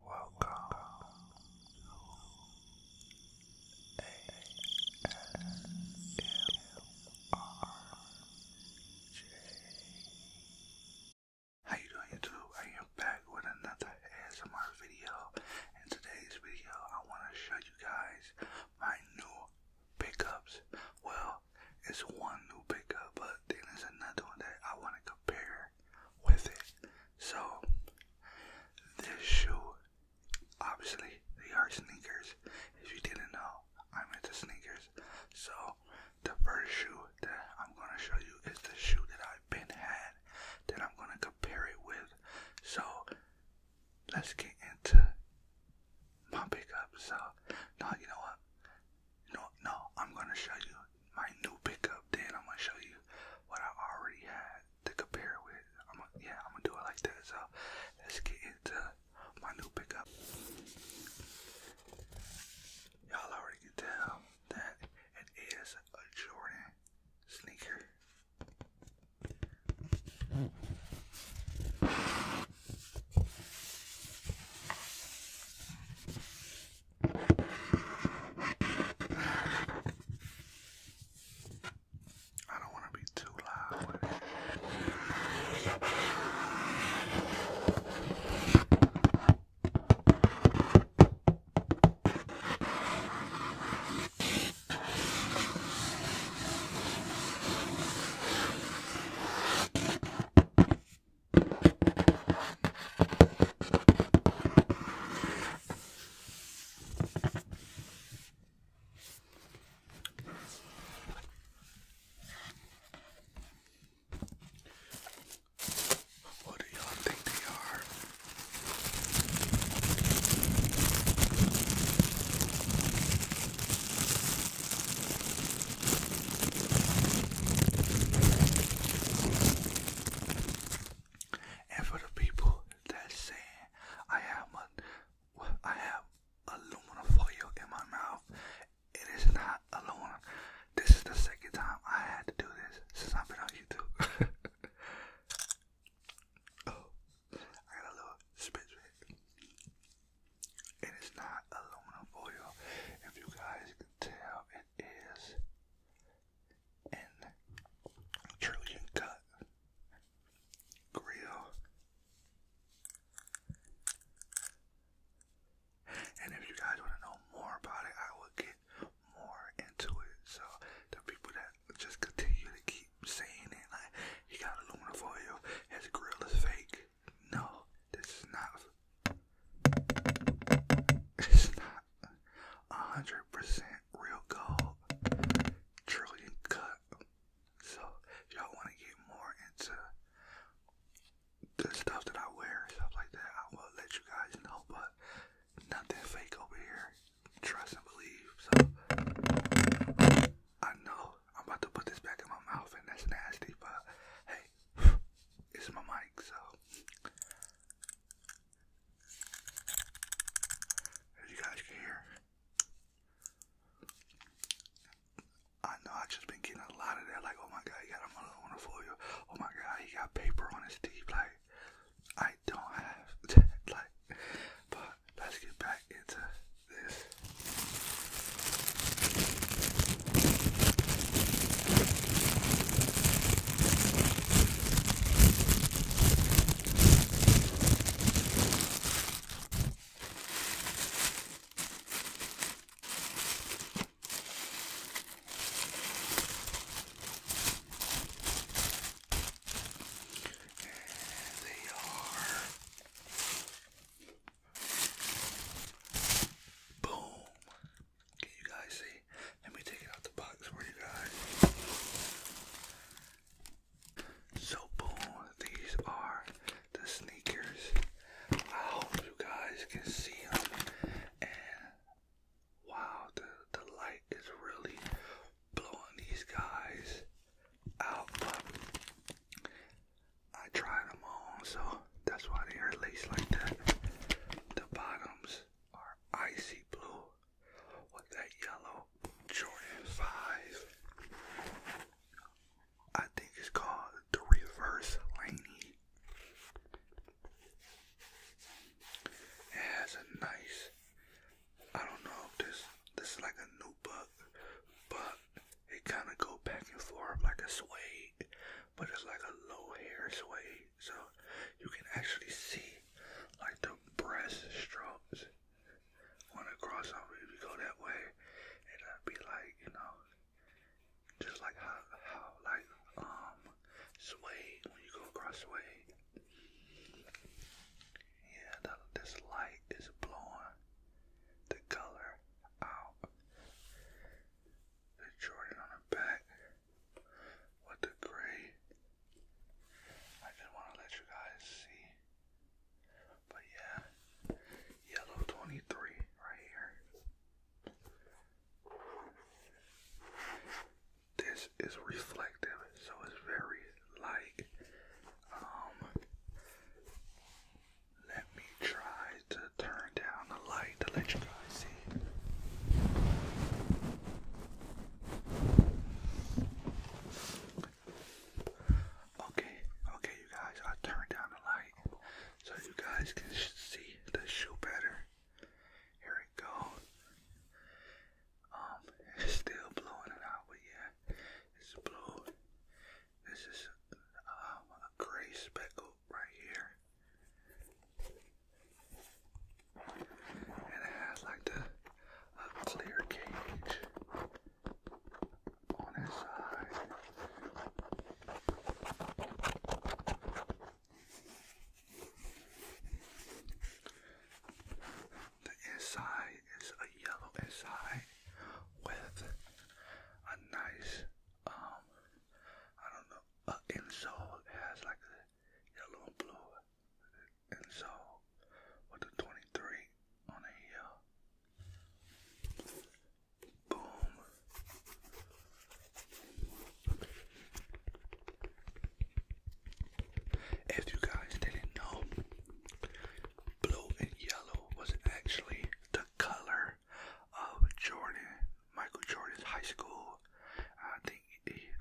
Welcome to How you doing YouTube? I am back with another ASMR video. In today's video, I want to show you guys my new pickups. Well, it's one new pickup, but then there's another one that I want to compare with it. So this shoe, obviously, they are sneakers. If you didn't know, I'm into sneakers. So the first shoe that I'm gonna show you is the shoe that I've been had that I'm gonna compare it with. So let's get into my pickup. So no, you know what? No, no, I'm gonna show you my new pickup. Then I'm gonna show you what I already had to compare with. yeah, I'm gonna do it like that. So let's get into my new pickup. Y'all already can tell that it is a Jordan sneaker. I don't want to be too loud with it. What do y'all think they are? And for the people that say I have a, I have aluminum foil in my mouth, it is not aluminum. This is the second time I had to do this since I've been on YouTube. Oh, I got a little spit bit. It is not aluminum foil. If you guys can tell, it is and Trojan cut grill. And if you guys want to know more about it, I will get more into it. So the people that just continue to keep saying it, like you got aluminum foil, his grill is fake. No, this is not. It's not hundred percent real gold trillion cut. So y'all want to get more into the stuff that I wear, stuff like that, I will let you guys know. But nothing fake over here. Trust and believe. So I know I'm about to put this back in my mouth, and that's nasty. But hey, it's my mic, so as you guys can hear, I know I just been getting a lot of that. Like, oh my god, he got a mother on the foil. Oh my god, he got paper on his teeth. Like, I don't have Like, but let's get back into this they are. Boom. Can you guys see? Let me take it out the box for you guys. So boom, these are the sneakers. I hope you guys can see them. And wow, the, the light is really blowing these guys out. I tried them on, so that's why they are laced like that. The bottoms are icy blue with that yellow Jordan 5. I think it's called the reverse Laney. It has a nice, I don't know if this this like a new book, but it kind of go back and forth like a suede, but it's like a low hair suede, so you can actually see like the breast breaststrokes on a crossover if you go that way, and I'd be like, you know, just like how how like um sway when you go across sway. Yeah, the, this light is blowing the color out. The Jordan on the back what the I didn't want to let you guys see. But yeah, yellow 23 right here. This is reflective, so it's very light. Um, let me try to turn down the light to let you guys see. Okay, okay, you guys, I'll down the light so you guys can see the shoe better. Here it goes. Um, it's still blowing it out, but yeah, it's blue. This is um, a gray speckle right here. And it has like a clear cage on its side. The inside is a yellow inside with a nice um I don't know uh insole it has like a yellow and blue, and so with the 23 on the uh, hill. Boom. If you guys didn't know, blue and yellow was actually the color of Jordan, Michael Jordan's high school.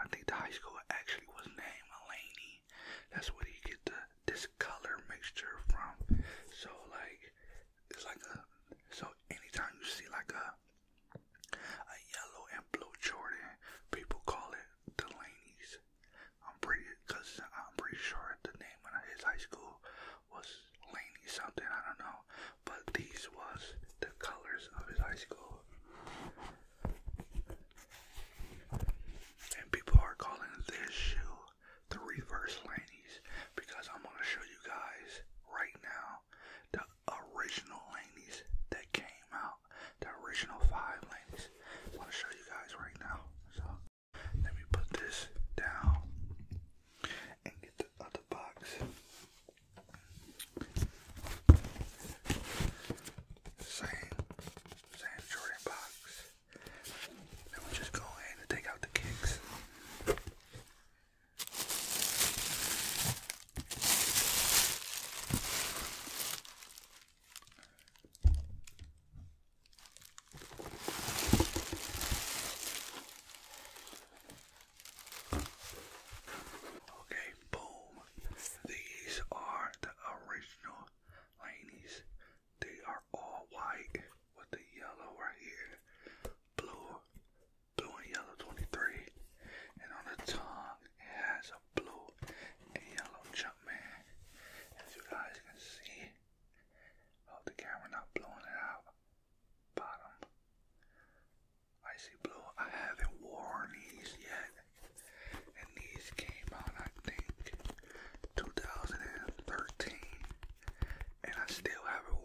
I think the high school actually was named Mulaney. That's where he get the this color mixture from. So like it's like a so anytime you see like a a yellow and blue Jordan, people call it Delaney's. I'm pretty cause I'm pretty sure the name of his high school was Laney something, I don't know. But these was the colors of his high school. And people are calling this shoe the reverse Laney's because I'm gonna show you guys right now the original Laney's that came out, the original five Laney's. I'm gonna show you guys right now. So let me put this down and get the other box same, same Jordan box. Then we just go ahead and take out the kicks. Okay, boom. These are the original Laney's. They are all white with the yellow right here. Blue, blue and yellow 23. And on the tongue, it has a blue and yellow Jumpman. As you guys can see, hope oh, the camera not blowing it out. Bottom, I see blue. I haven't worn these yet and these came out I think 2013 and I still haven't worn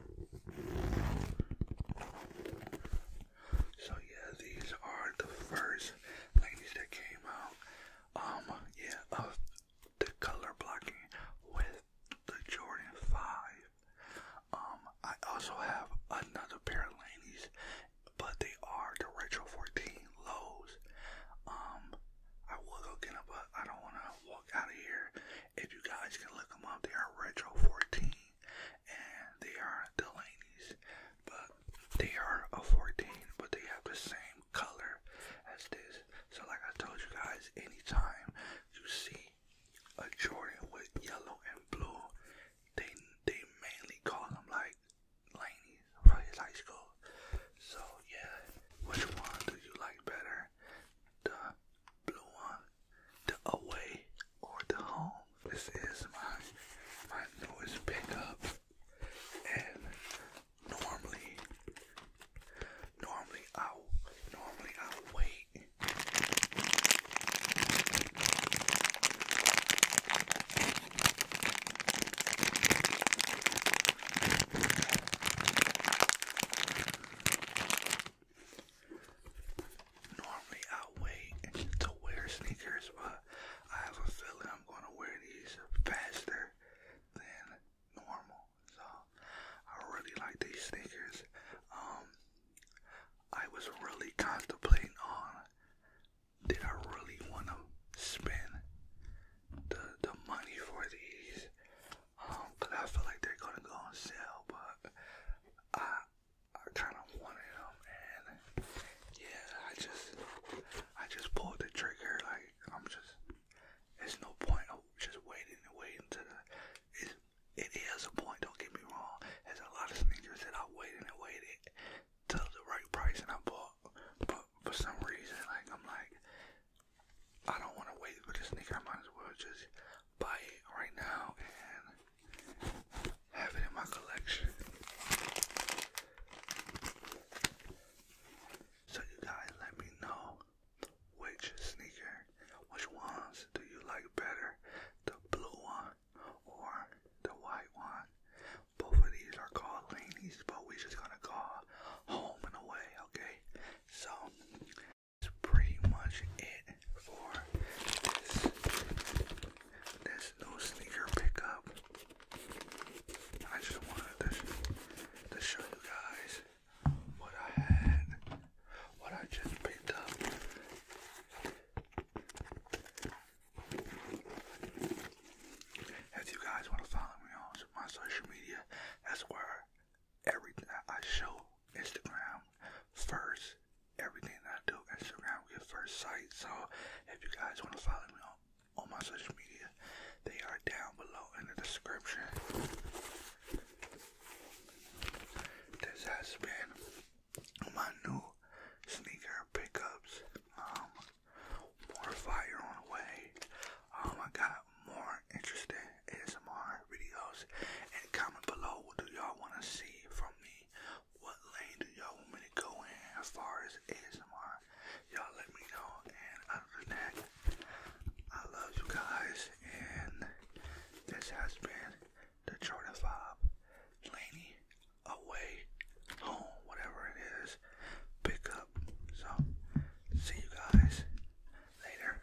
So yeah, these are the first ladies that came out. Um, yeah, of the color blocking with the Jordan 5. Um, I also have another pair of ladies, but they are the Retro 14 lows. Um, I will go get them, but I don't want to walk out of here. If you guys can look them up, they are Retro 14 and they are the Delaney's, but they are a 14, but they have the same color as this. So, like I told you guys, anytime you see a Jordan with yellow and blue, they they mainly call them like Laney's from his high school. So yeah, which one do you like better? The blue one the away or the home. This is my my newest pickup, and normally, normally I normally I wait. Normally I wait to wear sneakers, but I have a feeling I'm gonna wear these faster than normal. So I really like these sneakers. Um, I was really contemplating on did I really wanna spend the the money for these? Um, I feel like they're gonna go on sale, but I I kind of wanted them, and yeah, I just, I just pulled the trigger. Like I'm just, there's no point of just waiting and waiting to the. It's, it is a point. Don't get me wrong. There's a lot of sneakers that I waited and waited till the right price, and I bought. But for some reason, like I'm like, I don't want to wait for this sneaker. I might as well just buy it right now and have it in my collection. So you guys let me know which sneaker, which ones do you like better? The blue one or the white one? Both of these are called Laney's, but we're just gonna call home and away, okay? So that's pretty much it for this this new sneaker pickup. I just wanted to, to show you guys what I had, what I just picked up. If you guys want to follow me on my social media, that's where everything I show Instagram, first. Everything I do, Instagram with first sight. So if you guys want to follow me on on my social media, they are down below in the description. This has been my new sneaker pickups. Um, more fire on the way. Um, I got more interesting ASMR videos. And comment below what do y'all want to see from me what lane do y'all want me to go in as far as ASMR? Y'all let me know. And other than that, I love you guys. And this has been the Jordan 5 Laney Away Home, whatever it is. Pick So, see you guys later.